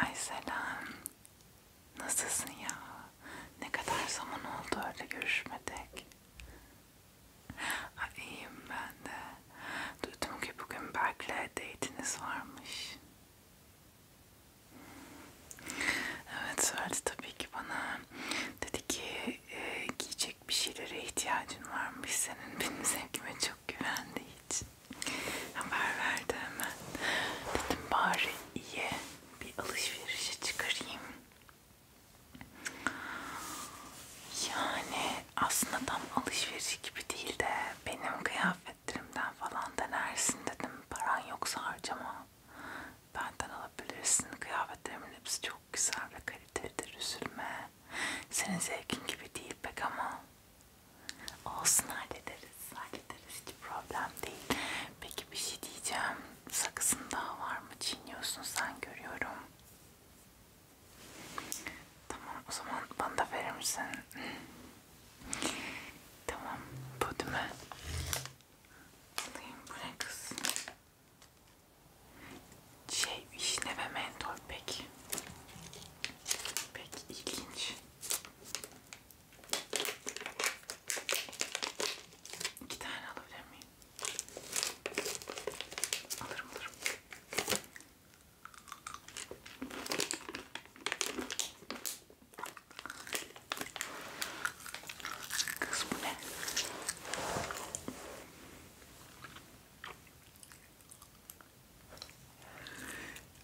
Ay selam. Nasılsın ya? Ne kadar zaman oldu öyle görüşmedik. Ay iyiyim ben de. Duydum ki bugün Berk'le date'iniz varmış. Evet söyledi tabii ki bana. Dedi ki e, giyecek bir şeylere ihtiyacın varmış senin. Benim sevgime çok güvendi hiç. Haber verdi hemen. Dedim bari iyi bir alışverişe çıkarayım. Yani aslında tam alışveriş gibi değil de benim kıyafetlerimden falan denersin dedim. Paran yoksa harcama. Benden alabilirsin. Kıyafetlerimin hepsi çok güzel ve kalitelidir. Üzülme. Senin zevkin gibi değil pek ama Olsun hallederiz, hallederiz hiç problem değil. Peki bir şey diyeceğim, sakızın daha var mı? Çiğniyorsun sen görüyorum. Tamam o zaman bana da verir misin? Tamam bu değil mi? Alayım bu ne kız? Şey vişne ve mentol pek. Pek ilginç. İki tane alabilir miyim? Alırım alırım. Kız bu ne?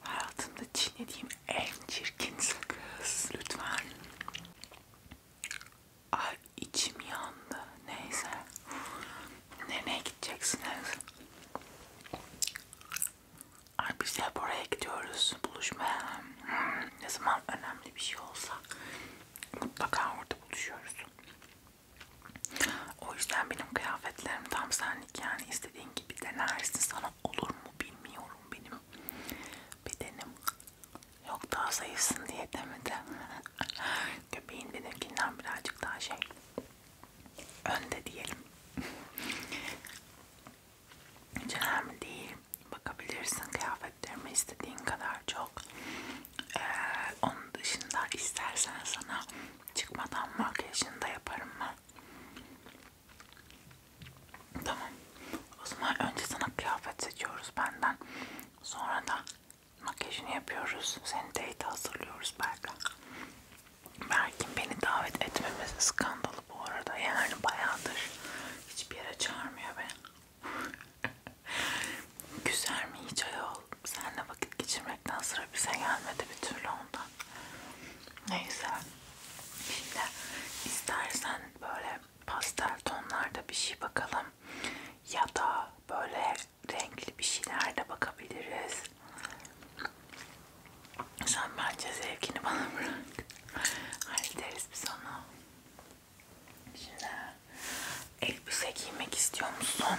Hayatımda çiğnediğim en çirkin sakız. Lütfen. Ay içim yandı. Neyse. Nereye gideceksiniz? Ay biz hep oraya gidiyoruz buluşmaya. Hmm, ne zaman önemli bir şey olsa mutlaka orada buluşuyoruz. O yüzden benim kıyafetlerim tam senlik yani. İstediğim istediğin gibi denersin. Sana olur mu bilmiyorum benim bedenim. Yok daha zayıfsın diye demedi. Göbeğin benimkinden birazcık daha şey önde diyelim. Hiç önemli değil. Bakabilirsin kıyafetlerime istediğin kadar çok. Ee, onun dışında istersen sana çıkmadan makyajını da yaparım ben. Tamam. O zaman önce sana kıyafet seçiyoruz benden. Sonra da makyajını yapıyoruz. Seni date hazırlıyoruz belki. Belki beni davet etmemiz skandalı bu arada. Yani bayağıdır hiçbir yere çağırmıyor beni. Güzel mi hiç ayol? Seninle vakit geçirmekten sıra bize gelmedi bir türlü ondan. Neyse. Şimdi istersen böyle pastel tonlarda bir şey bakalım. Ya da böyle renkli bir şeyler de bakabiliriz. Sen bence zevkini bana bırak. Hallederiz biz onu. Şimdi elbise giymek istiyor musun?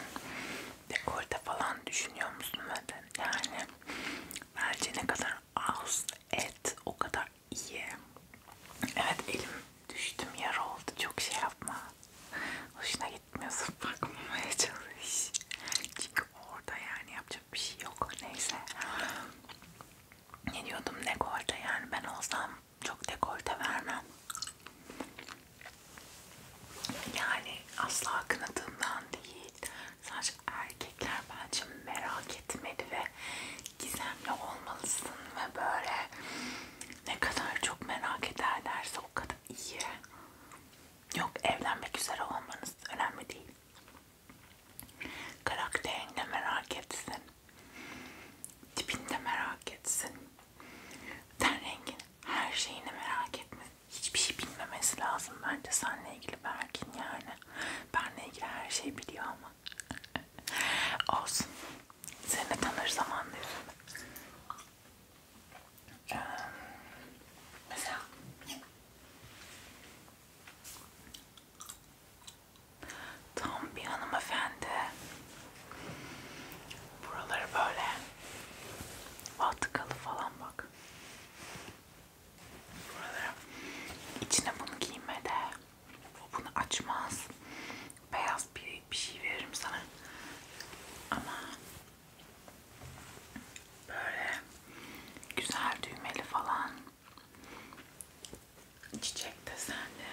Dekorte falan düşünüyor musun? Yani Bence ne kadar az et o kadar iyi. Evet elim düştüm yer oldu. Çok şey yapma. Hoşuna gitmiyorsun bakmamaya çalış. Çünkü orada yani yapacak bir şey yok. Neyse. Ne diyordum dekolte yani ben olsam çok dekolte vermem. Yani asla kınadığımdan değil. Sadece genç erkekler bence merak etmeli ve gizemli olmalısın ve böyle ne kadar çok merak ederlerse o kadar iyi. Yok evlenmek üzere olmanız önemli değil. Karakterini de merak etsin. Tipini de merak etsin. Ten rengini, her şeyini merak etmesin hiçbir şey bilmemesi lazım bence seninle ilgili Berkin yani. Benle ilgili her şeyi biliyor ama. Olsun. Seni tanır zamanla ee, Mesela tam bir hanımefendi buraları böyle vatkalı falan bak İçine bunu giyme de o bunu açmaz. Beyaz bir, bir şey veririm sana. Ama böyle güzel düğmeli falan çiçek desende.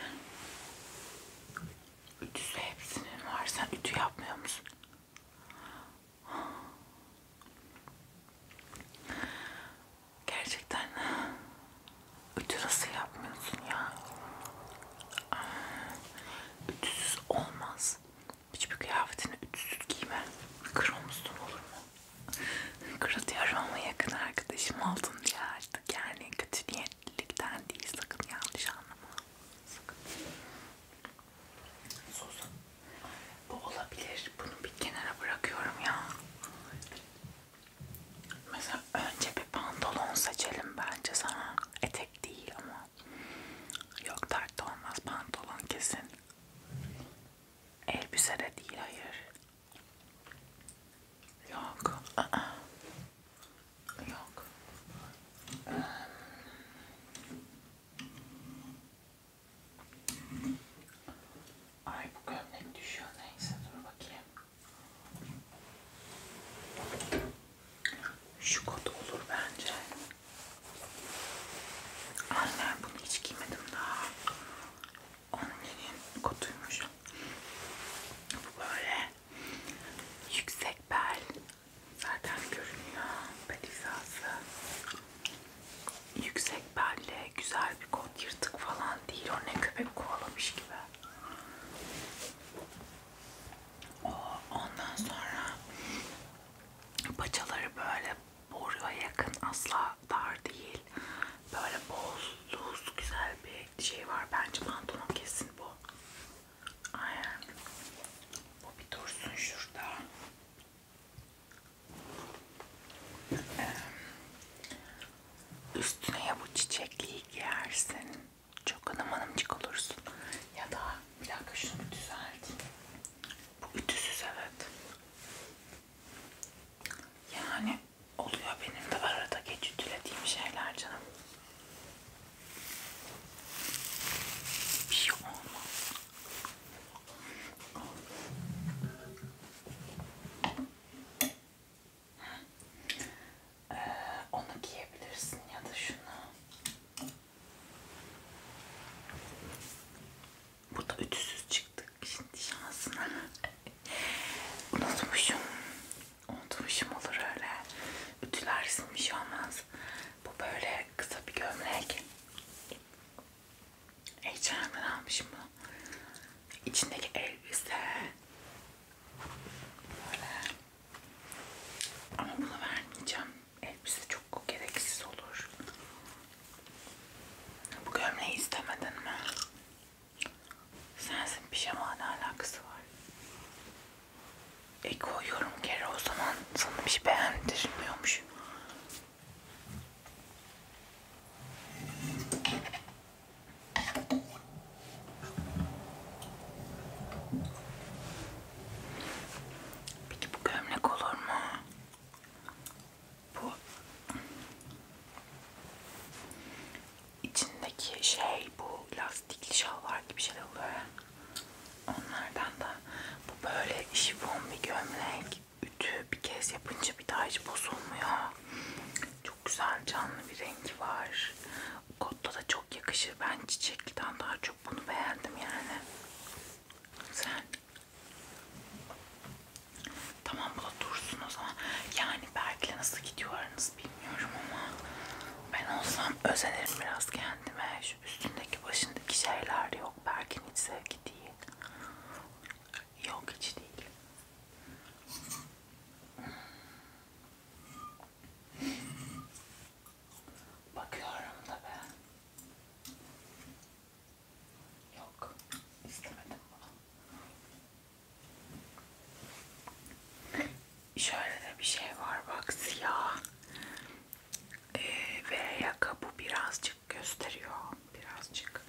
Ütüsü hepsinin var. Sen ütü yapmıyor musun? Gerçekten ütü nasıl yapmıyorsun ya? Ütüsüz olmaz. Hiçbir kıyafetini ütüsüz giyme. Kırılmışsın olur mu? Kırılıyorum ama yakın arkadaşım oldun diye artık yani kötü niyetlilikten değil sakın yanlış anlama. Sakın sosu. Bu olabilir. Bunu bir kenara bırakıyorum ya. Mesela önce bir pantolon seçelim bence sana. Etek değil ama. Yok dert olmaz pantolon kesin. Elbise de değil hayır. Yok. Aa. Yok. Ay bu gömlek düşüyor neyse dur bakayım. Şu kot olur bence. Annem bunu hiç giymedim daha. Onun kotuymuş. Bu böyle yüksek bel. Zaten görünüyor bel hizası yüksek belle, güzel bir kot yırtık falan değil. O ne köpek kovalamış gibi. O, ondan sonra paçaları böyle boruya yakın asla dar değil. Böyle bol, loose, güzel bir şey var. Bence pantolon kesin bu. Aynen. Bu bir dursun şurada. Ee, üstüne ya bu çiçekliği giyersin. Çok hanım hanımcık olursun. Ya da bir dakika şunu bir düzelteyim. Bu ütüsüz evet. Yani oluyor benim de arada geç ütülediğim şeyler canım. Bir şey olmaz. Ee, onu giyebilirsin ya da şunu. Bu da ütüsüz çıktık şimdi şansına. Unutmuşum. Unutmuşum olur öyle. Ütüler silmiş şey olmaz. Bu böyle kısa bir gömlek. H&M'den almışım bunu. İçindeki elbise. Böyle. Ama bunu vermeyeceğim. Elbise çok gereksiz olur. Bu gömleği istemedin mi? Sensin pijama ne alakası var? E koyuyorum kere o zaman sana bir şey beğendirmiyormuş. Peki bu gömlek olur mu? Bu içindeki şey bu lastikli şalvar gibi şeyler oluyor. Onlardan da bu böyle şifon bir gömlek ütü bir kez yapınca bir daha hiç bozulmuyor. Çok güzel canlı bir rengi var. Kotta da çok yakışır. Ben çiçekliden daha çok bunu beğendim yani. Güzel. Tamam bu da dursun o zaman. Yani belki nasıl gidiyorlarınız bilmiyorum ama ben olsam özenirim biraz kendime. Şu üstündeki başındaki şeyler yok. Belki hiç sevgi değil. Yok hiç değil. Bakıyorum da ben. Yok, istemedim bunu. Şöyle de bir şey var bak siyah. Ee, ve yaka bu birazcık gösteriyor. Birazcık.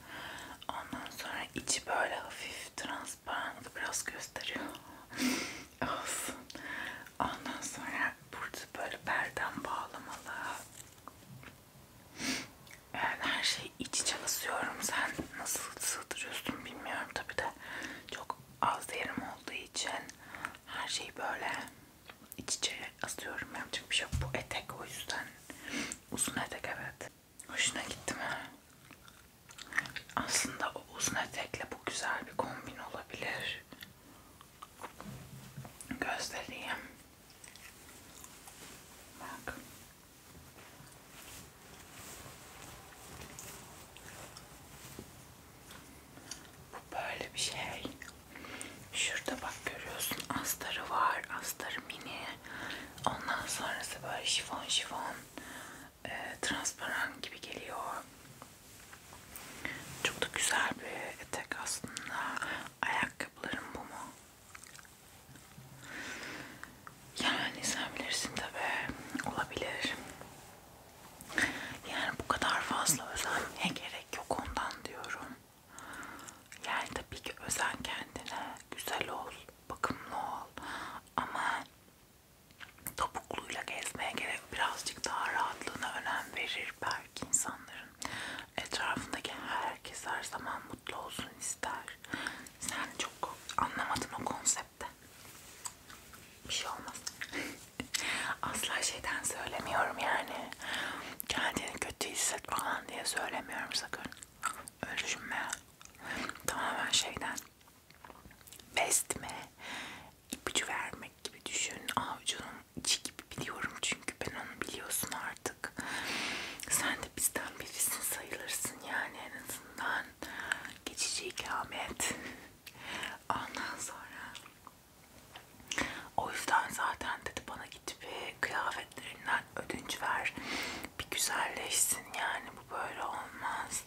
Ondan sonra içi böyle hafif transparan biraz gösteriyor. Olsun. Ondan sonra burada böyle perden bağlamalı. Yani her şey iç çalışıyorum. Sen nasıl sığdırıyorsun bilmiyorum tabi de. Çok az yerim olduğu için her şey böyle iç içe asıyorum. Yapacak bir şey yok. Bu etek o yüzden. Uzun etek evet. Hoşuna gitti mi? Aslında o uzun etekle bu güzel bir kombin olabilir. Göstereyim. Bak. Bu böyle bir şey. Şurada bak görüyorsun astarı var. Astarı mini. Ondan sonrası böyle şifon şifon e, transparan gibi geliyor. Çok da güzel bir etek aslında. Ayakkabılarım bu mu? Yani sen bilirsin tabi. Olabilir. Yani bu kadar fazla özenmeye gerek yok ondan diyorum. Yani tabii ki özen kendine, güzel ol, bakımlı ol ama topukluyla gezmeye gerek birazcık daha rahatlığına önem verir belki insanların. Etrafındaki herkes her zaman mutlu olsun ister. Sen çok anlamadın o konsepte. Bir şey olmaz. Asla şeyden söylemiyorum yani kendini kötü hisset falan diye söylemiyorum sakın. Öyle düşünme. Tamamen şeyden besme ipucu vermek gibi düşün. Avcunun içi gibi biliyorum çünkü ben onu biliyorsun artık. Sen de bizden birisin sayılırsın yani en azından geçici ikamet. Ondan sonra o yüzden zaten dedi bana git bir kıyafetlerinden ödünç ver. Bir güzelleşsin yani bu böyle olmaz.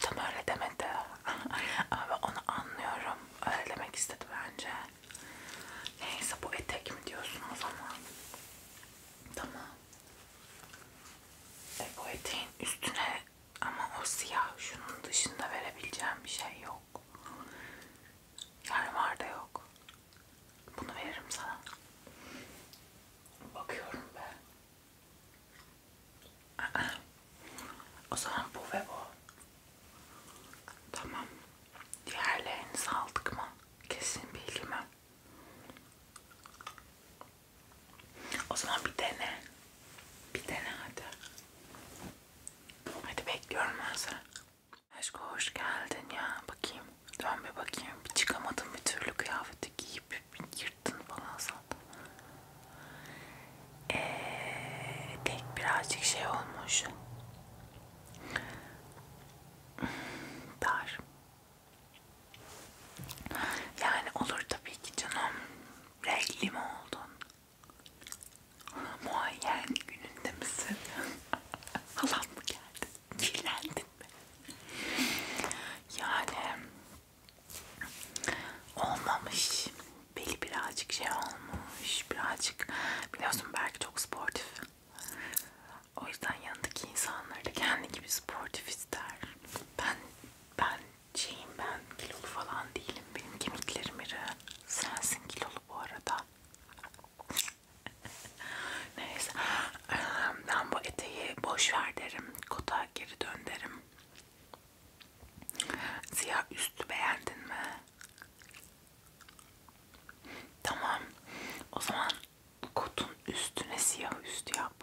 Tam öyle demedi. Ama ben onu anlıyorum. Öyle demek istedi bence. Neyse bu etek mi diyorsun o zaman? Tamam. E bu eteğin üstüne ama o siyah şunun dışında verebileceğim bir şey yok yok. Yani var da yok. Bunu veririm sana. Bakıyorum be. O zaman bu ve bu. Tamam. Diğerlerini saldık mı? Kesin bilgimi. O zaman bir dene. Bir dene hadi. Hadi bekliyorum ben seni. Aşkım hoş geldin ya. Bakayım. Dön bir bakayım. Bir çıkamadım bir türlü kıyafeti giyip bir yırttın falan sandım. Eee tek birazcık şey olmuş. Hmm, dar. Yani olur tabii ki canım. Renkli mi oldun? Muayyen gününde misin? Halam mı geldi? Kirlendin mi? Yani olmamış. Beli birazcık şey olmuş. Birazcık biliyorsun belki çok sportif. O yüzden yanındaki insanlar da kendi gibi sportif ister. Ben ben şeyim ben kilolu falan değilim. Benim kemiklerim iri. Sensin kilolu bu arada. Neyse ben bu eteği boş ver derim. Kota geri dön derim. Siyah üstü beğendin mi? Tamam. O zaman kotun üstüne siyah üst yap.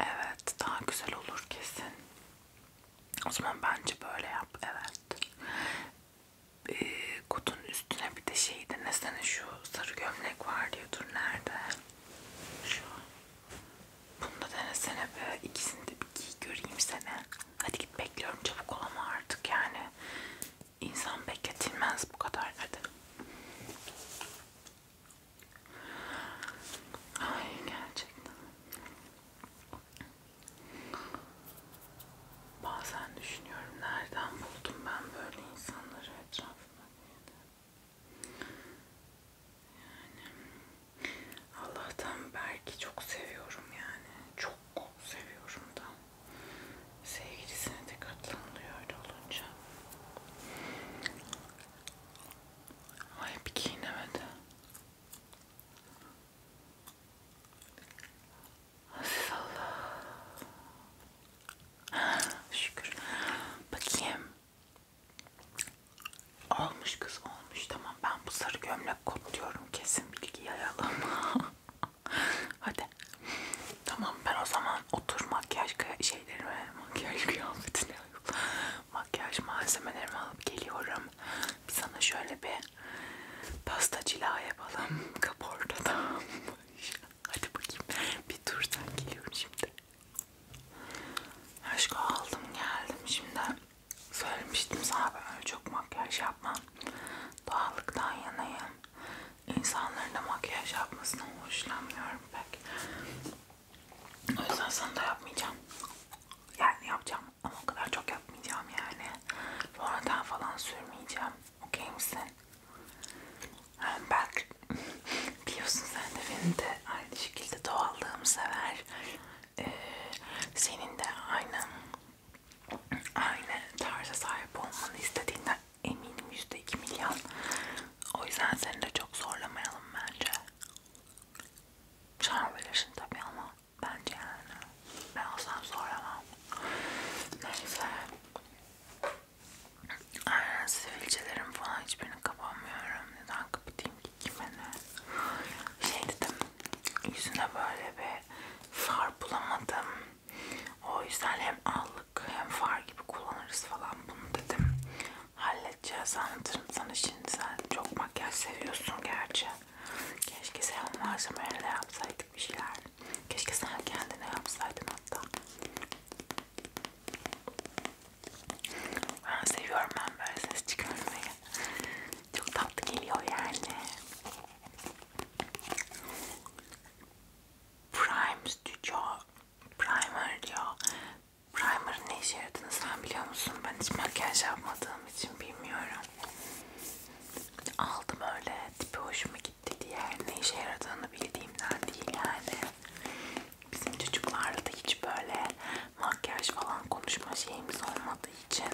Evet, daha güzel olur kesin. O zaman bence böyle yap. Evet e, ee, kutunun üstüne bir de şey denesene şu sarı gömlek var diyordur nerede? Şu. Bunu da denesene be. İkisini de bir giy göreyim seni. Hadi git bekliyorum çabuk ol ama artık yani. İnsan bekletilmez bu kadar hadi. Ay gerçekten. Bazen düşünüyorum nereden buldum ben böyle insanları etrafıma diye de. Yani Allah'tan belki çok seviyorum yani. Çok seviyorum da. Sevgilisine de katlanılıyor öyle olunca. Ay bir giyinemedi. Aziz Allah. Şükür. Bakayım. Olmuş kız olmuş. Tamam ben bu sarı gömlek kodluyorum. Kesin bilgi yayalım. Hadi. Tamam ben o zaman otur makyaj şeylerimi, makyaj kıyafetini, makyaj malzemelerimi alıp geliyorum. Bir sana şöyle bir pasta cila yapalım kaportadan. Hadi bakayım. Bir dur sen geliyorum şimdi. Aşkı aldım geldim şimdi. Söylemiştim sana ben öyle çok makyaj yapmam. Doğallıktan yanayım. İnsanların da makyaj yapmasından hoşlanmıyorum pek. O yüzden sana da yapmayacağım. Yani yapacağım ama o kadar çok yapmayacağım yani. Sonradan falan sürmeyeceğim. Okey misin? Yani belki biliyorsun sen de benim de aynı şekilde doğallığımı sever. Ee, senin de aynı aynı tarza sahip olmanı istediğinden eminim yüzde iki milyon. O yüzden seni de çok zorlamayalım bence. Şan verirsin tabii ama Bence yani. Ben olsam soramam. Neyse. Aynen sivilcelerim falan hiçbirini kapamıyorum. Neden kapatayım ki kime ne? Şey dedim. Yüzüne böyle bir far bulamadım. O yüzden hem allık hem far gibi kullanırız falan bunu dedim. Halledeceğiz anlatırım sana şimdi sen çok makyaj seviyorsun gerçi. Keşke sen onun harcamalarıyla yapsaydık bir şeyler. Keşke sen kendine yapsaydın hatta. Ben seviyorum ben böyle ses çıkarmayı. Çok tatlı geliyor yani. Prime Studio Primer diyor. Primer'ın ne işe yaradığını sen biliyor musun? Ben hiç makyaj yapmadığım için bilmiyorum aldım öyle tipi hoşuma gitti diye ne işe yaradığını bildiğimden değil yani bizim çocuklarla da hiç böyle makyaj falan konuşma şeyimiz olmadığı için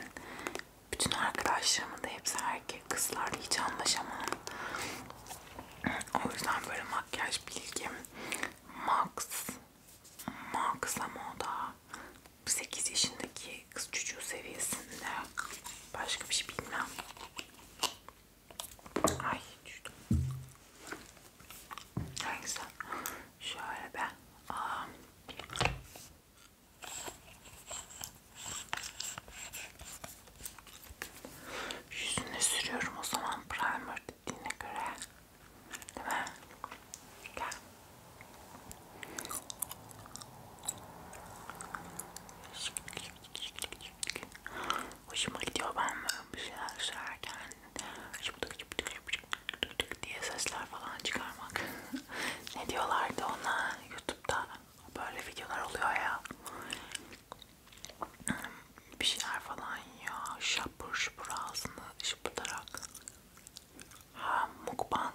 bütün arkadaşlarımın da hepsi erkek kızlarla hiç anlaşamam o yüzden böyle makyaj bilgim max max ama o da 8 yaşındaki kız çocuğu seviyesinde başka bir şey bilmem. Ay düştüm. Neyse. Şöyle ben. Aa. Yüzüne sürüyorum o zaman primer dediğine göre. Değil mi? Gel. Hoşuma gidiyor ben bir şeyler söylerken diye sesler falan çıkarmak. ne diyorlardı ona YouTube'da böyle videolar oluyor ya. Bir şeyler falan ya şapur şupur ağzını şıpıtarak. Ha mukbang.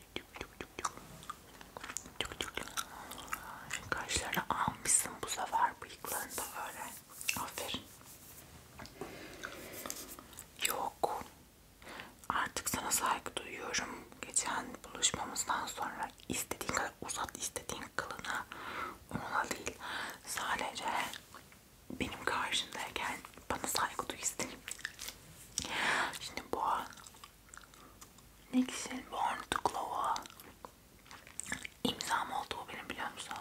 Kaşlarını almışsın bu sefer bıyıklarını da öyle. Aferin. Yok. Artık sana saygı duyuyorum. Geçen buluşmamızdan sonra istediğin kadar uzat istediğin kılına ona değil. Sadece benim karşımdayken bana saygı duy isterim. Şimdi bu ne güzel Born to Glove'a imzam oldu bu benim biliyor musun?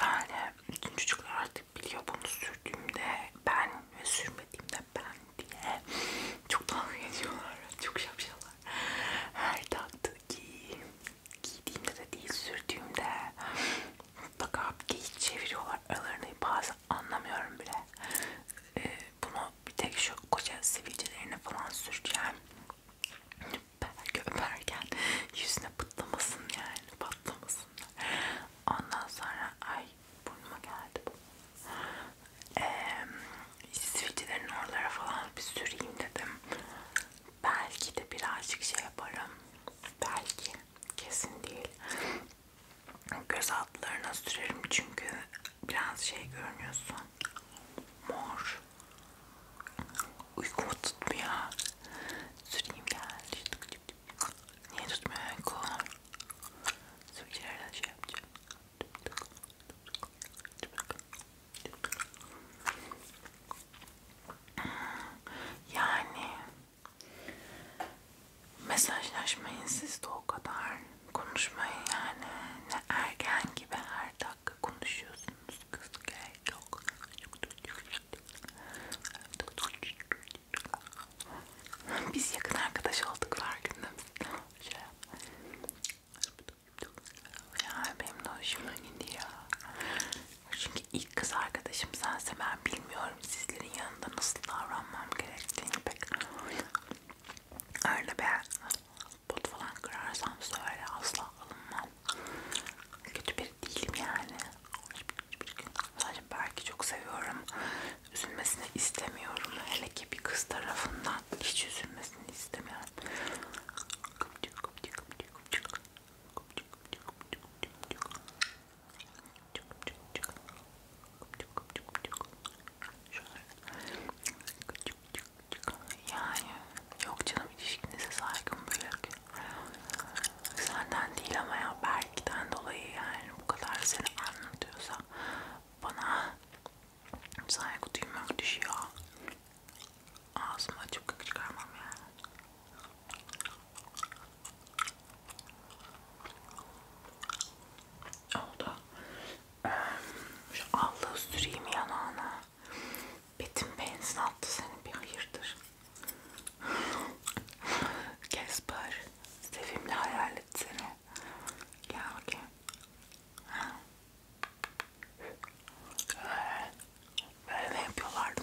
Yani bütün çocuklar artık biliyor bunu sürdüğümde ben ve sürmediğimde ben diye çok dalga geçiyorlar. Çok şapşalar. Her taktı ki giydiğimde de değil sürdüğümde mutlaka geyik çeviriyorlar. Aralarını bazı anlamıyorum bile. Ee, bunu bir tek şu koca sivilcelerine falan süreceğim. Belki öperken yüzüne pıtlamasın yani patlamasın. Ondan sonra ay burnuma geldi bu. Ee, sivilcelerin oralara falan bir süreyim dedim. Belki de birazcık şey yaparım. Belki kesin değil göz altlarına sürerim çünkü biraz şey görünüyorsun mor uykumu tutmuyor süreyim gel niye tutmuyor uyku sürücülerden şey yapacağım yani Mesajlaşmayın siz de o kadar. Konuşmayın yani. Ne ergen gibi her dakika konuşuyorsunuz. Kız gerek yok. Biz yakın arkadaş olduk farkında. Şey. Ya benim de hoşuma gidiyor. Çünkü ilk kız arkadaşım sense ben bilmiyorum bilmiyorum sizlerin yanında nasıl davranmam gerektiğini pek öyle bir bot falan kırarsam söyle asla alınmam kötü biri değilim yani sadece belki çok seviyorum üzülmesini istemiyorum hele ki bir kız tarafından hiç üzülmesini istemiyorum çok çok çok. Çok çok çok. Şöyle. Çok çok çok. Yani yok canım ilişkinize saygım büyük. Senden değil ama ya Berk'ten dolayı yani bu kadar seni anlatıyorsa bana saygı duymak düşüyor. Ağzıma çok çıkarmam yani. Oldu. Şu allığı süreyim yanağına. Betim benzin attı seni bir hayırdır. Kesper, sevimli hayalet seni. Gel bakayım. Böyle mi yapıyorlardı?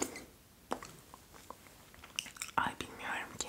Ay bilmiyorum ki.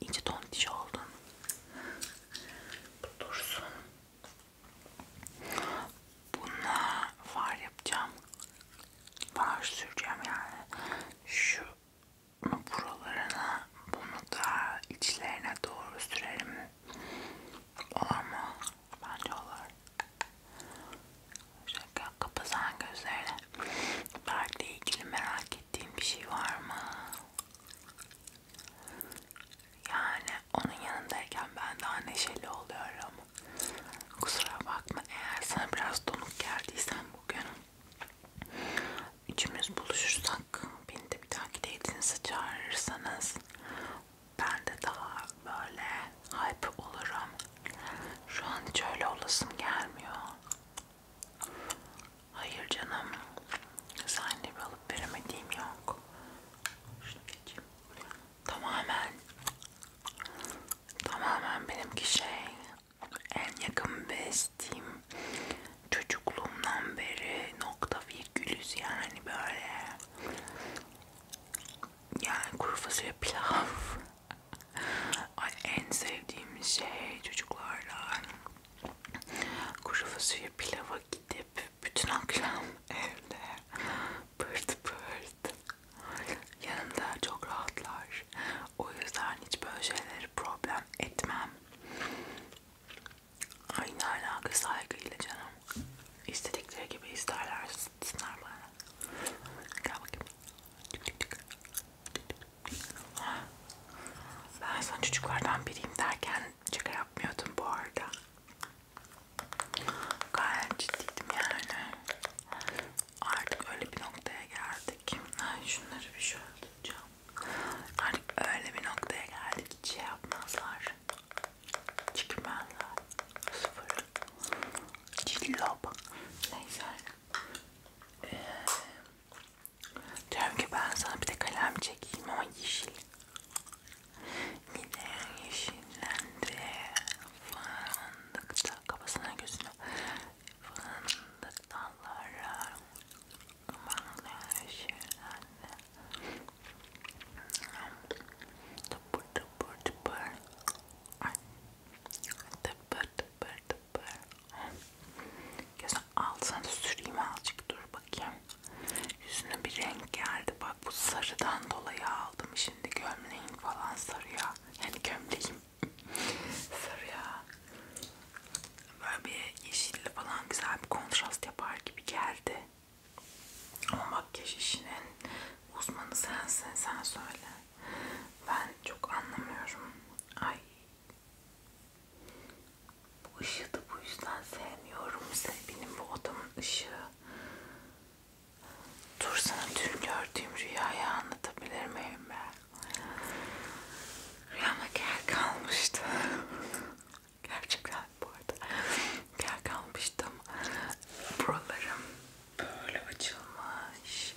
İnce tontiş oldun. Bu dursun. Bununla far yapacağım. Far süreceğim yani. Şu buralarına bunu da içlerine doğru sürerim. Olur mu? Bence olur. Şaka kapasana gözlerine. Parkla ilgili merak ettiğin bir şey var mı? Yani onun yanındayken ben daha neşeli oluyorum. Kusura bakma eğer sana biraz donuk geldiysen bugün. Üçümüz buluşursak beni de bir dahaki date'inize çağırırsanız ben de daha böyle hype olurum. Şu an hiç öyle olasım gelmiyor. Hayır canım. Sen de bir alıp veremediğim yok. Şunu geçeyim. Tamamen tamamen benimki şey en yakın bestiğim çocukluğumdan beri nokta virgülüz yani böyle yani kuru fasulye pilav Ay en sevdiğim şey çocuklardan kuru fasulye pilava gidip bütün akşam evde pırt pırt yanımda çok rahatlar. O yüzden hiç böyle şeyleri problem etmem. Aynı alaka saygıyla canım. İstedikleri gibi isterler. Sıtsınlar bana. Gel bakayım. Tık tık tık. Tık tık. Ben sana çocuklardan biriyim derken şaka yapmıyordum bu arada. Gayet ciddiydim yani. Artık öyle bir noktaya geldik. Ay şunları bir şöyle tutacağım. Artık öyle bir noktaya geldik hiç şey yapmazlar. Çıkmazlar. Sıfır. Cillop. Neyse. Ee, Diyorum ki ben sana bir de kalem çekeyim ama yeşil. Yine yeşillendi. Fındıkta kafasına gözüne. Fındık dallara. Aman yeşillendi. Tıpır tıpır tıpır. Ay. Tıpır tıpır tıpır. Gözün altına da süreyim azıcık dur bakayım. Yüzüne bir renk geldi. Bak bu sarıdan dolayı aldım. Şimdi gömleğim falan sarıya. Yani gömleğim sarıya. Böyle bir yeşille falan güzel bir kontrast yapar gibi geldi. Ama makyaj işinin uzmanı sensin. Sen söyle. Ben çok anlamıyorum. Ay bu ışığı da bu yüzden sevmiyorum. Benim bu odamın ışığı. Dur sana dün gördüğüm rüyayı anlatabilir miyim ben? Rüyama kel kalmıştı. Gerçekten bu arada kel kalmıştım. Buralarım böyle açılmış.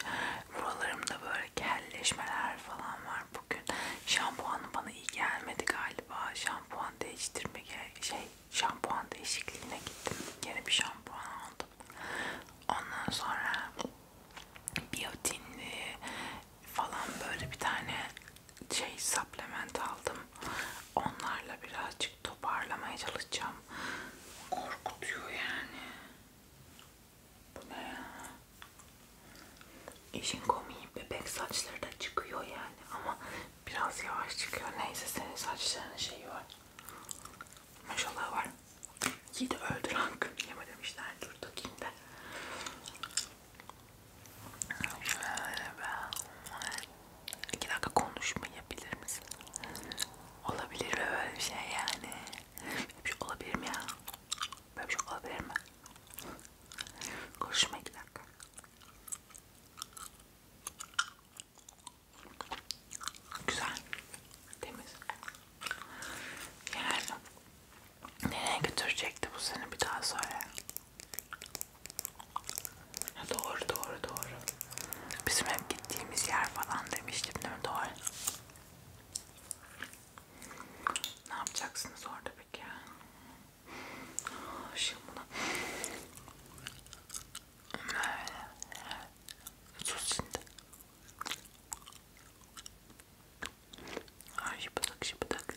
Buralarımda böyle kelleşmeler falan var bugün. Şampuan bana iyi gelmedi galiba. Şampuan değiştirme şey şampuan değişikliğine gittim. Yeni bir şampuan aldım. Ondan sonra biyotinli falan böyle bir tane şey supplement aldım. Onlarla birazcık toparlamaya çalışacağım. Korkutuyor yani. Bu ne ya? İşin komiği bebek saçları da çıkıyor yani ama biraz yavaş çıkıyor. Neyse senin saçlarının şeyi var. Maşallah var. Yedi öldür hakkını yemedim işte. Dur takayım da. Şöyle ben... İki dakika konuşmayabilir misin? Olabilir mi böyle bir şey yani? Böyle bir şey olabilir mi ya? Böyle bir şey olabilir mi? Konuşma iki dakika. Güzel. Temiz. Yani nereye götürecekti bu seni bir daha söyle. Ya doğru doğru doğru. Bizim hep gittiğimiz yer falan demiştim değil mi? Doğru. Ne yapacaksınız orada peki? Şimdi bunu sus şimdi. Şıpıdık şıpıdık.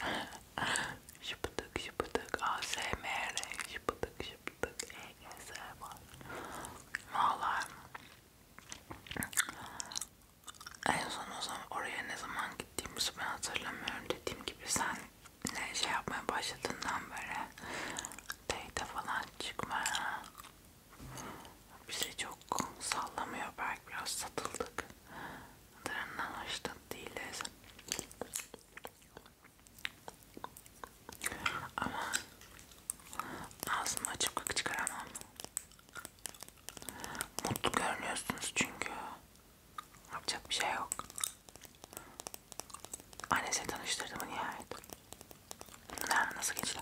Şıpıdık şıpıdık. ASMR. Şıpıdık şıpıdık. E ASMR. Valla. En son o zaman oraya ne zaman gittiğimizi ben hatırlamıyorum. Dediğim gibi sen ne şey yapmaya başladığından beri date falan çıkmaya bizi çok sallamıyor. Belki biraz satıldık. Darından hoşnut değiliz. Ama ağzımı açıp kık çıkaramam. Mutlu görünüyorsunuz çünkü. Yapacak bir şey yok. Annesiyle tanıştırdım mı nihayet? Ne, nasıl geçti?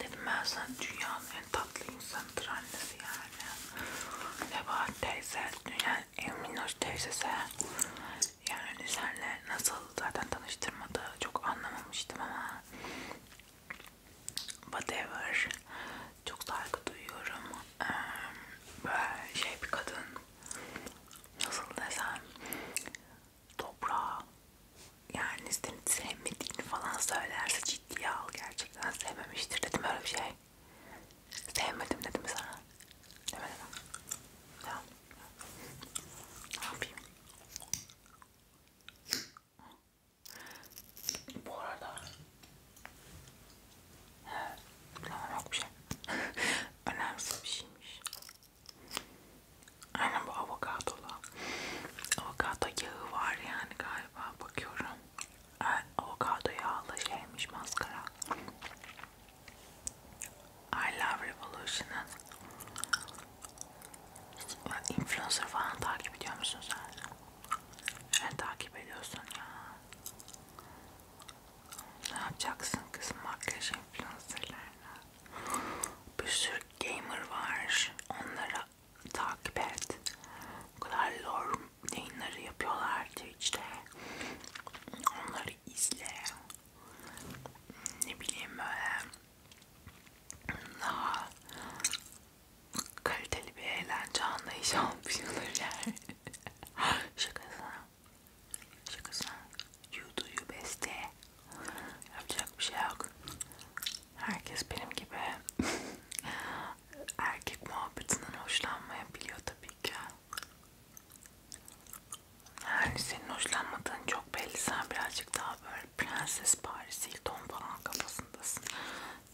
Dedim ben sana dünyanın en tatlı insanıdır annesi yani. Nebahat teyze, dünyanın en minnoş teyzesi. Yani senle nasıl zaten tanıştırmadı çok anlamamıştım ama whatever çok saygı duyuyorum böyle şey bir kadın nasıl desem toprağa yani seni sevmediğini falan söylerse ciddiye al gerçekten sevmemiştir dedim öyle bir şey sevmedim dedim sana demedim tamam ne yapayım bu arada tamam yok bir şey. Önemsiz bir şeymiş. Aynen bu avokadolu. Avokado yağı var yani galiba bakıyorum. Evet, avokado yağlı şeymiş maskara. I Love Revolution'ın Influencer falan takip ediyor musun sen? Ne takip ediyorsun ya? Ne yapacaksın kızım makyaj influencerlarına? Bir sürü gamer var. Onlara takip et. O kadar lore yayınları yapıyorlar Twitch'te. Onları izle. Ne bileyim böyle daha kaliteli bir eğlence anlayışı almışlar yani. Şakasına. Şakasına. You do you best day. Yapacak bir şey yok. Herkes benim gibi erkek muhabbetinden hoşlanmayabiliyor tabii ki. Yani senin hoşlanmadığın çok belli. Sen birazcık daha böyle Prenses Paris Hilton falan kafasındasın.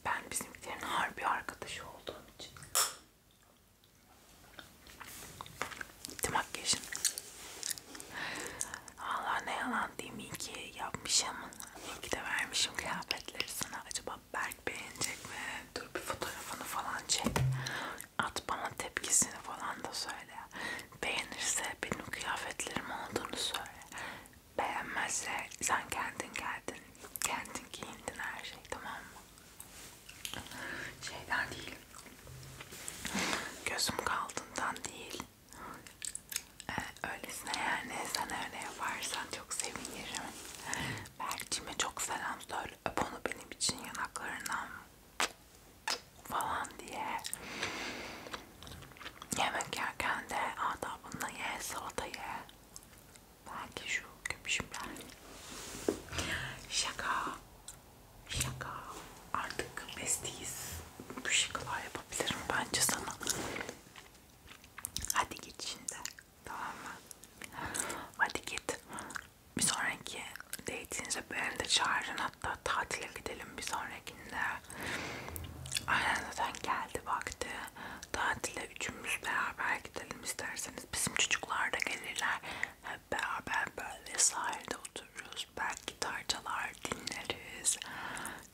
Ben bizimkilerin harbi arkadaşı olduğum için. Bitti makyajın. Allah ne yalan diyeyim iyi ki yapmışım. İyi ki de vermişim kıyafetleri sana. Acaba Berk beğenecek mi? Dur bir fotoğrafını falan çek. At bana tepkisini falan da söyle. Beğenirse benim kıyafetlerim olduğunu söyle beğenmezse sen kendin geldin, kendin giyindin her şey tamam mı? Şeyden değil, gözüm kaldığından değil. Ee, öylesine yani sen öyle yaparsan çok sevinirim. Berk'cime çok selam söyle, öp onu benim için yanaklarından falan diye. Yemek yerken de adabınla ye, salata ye. Belki şu köpüşümler. Şaka. Şaka. Artık bestiyiz. Bu şakalar yapabilirim bence sana. Hadi git şimdi. Tamam mı? Hadi git. Bir sonraki date'inize beni de çağırın. Hatta tatile gidelim bir sonrakinde. Aynen zaten geldi vakti. Tatile üçümüz beraber gidelim isterseniz. Bizim çocuklar da gelirler. Hep beraber böyle sahilde otururuz. Belki tarçalar dinleriz.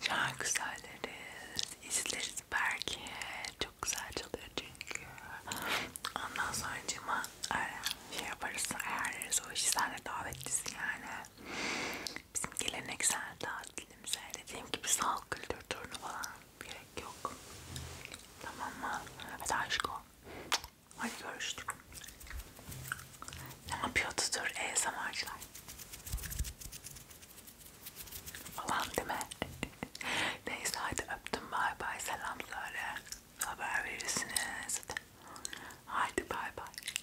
Şarkı söyleriz. izleriz belki. Çok güzel çalıyor çünkü. Ondan sonra cuma e, şey yaparız. Ayarlarız o işi. Sen de davetlisin yani bizim geleneksel tatilimize dediğim gibi sağlık kültür turunu falan gerek yok. Tamam mı? Hadi aşko. Hadi görüştük. Ne yapıyordur ASMR'cılar? E falan değil mi? Neyse hadi öptüm bay bay selam söyle. Haber verirsiniz. Hadi bay bay.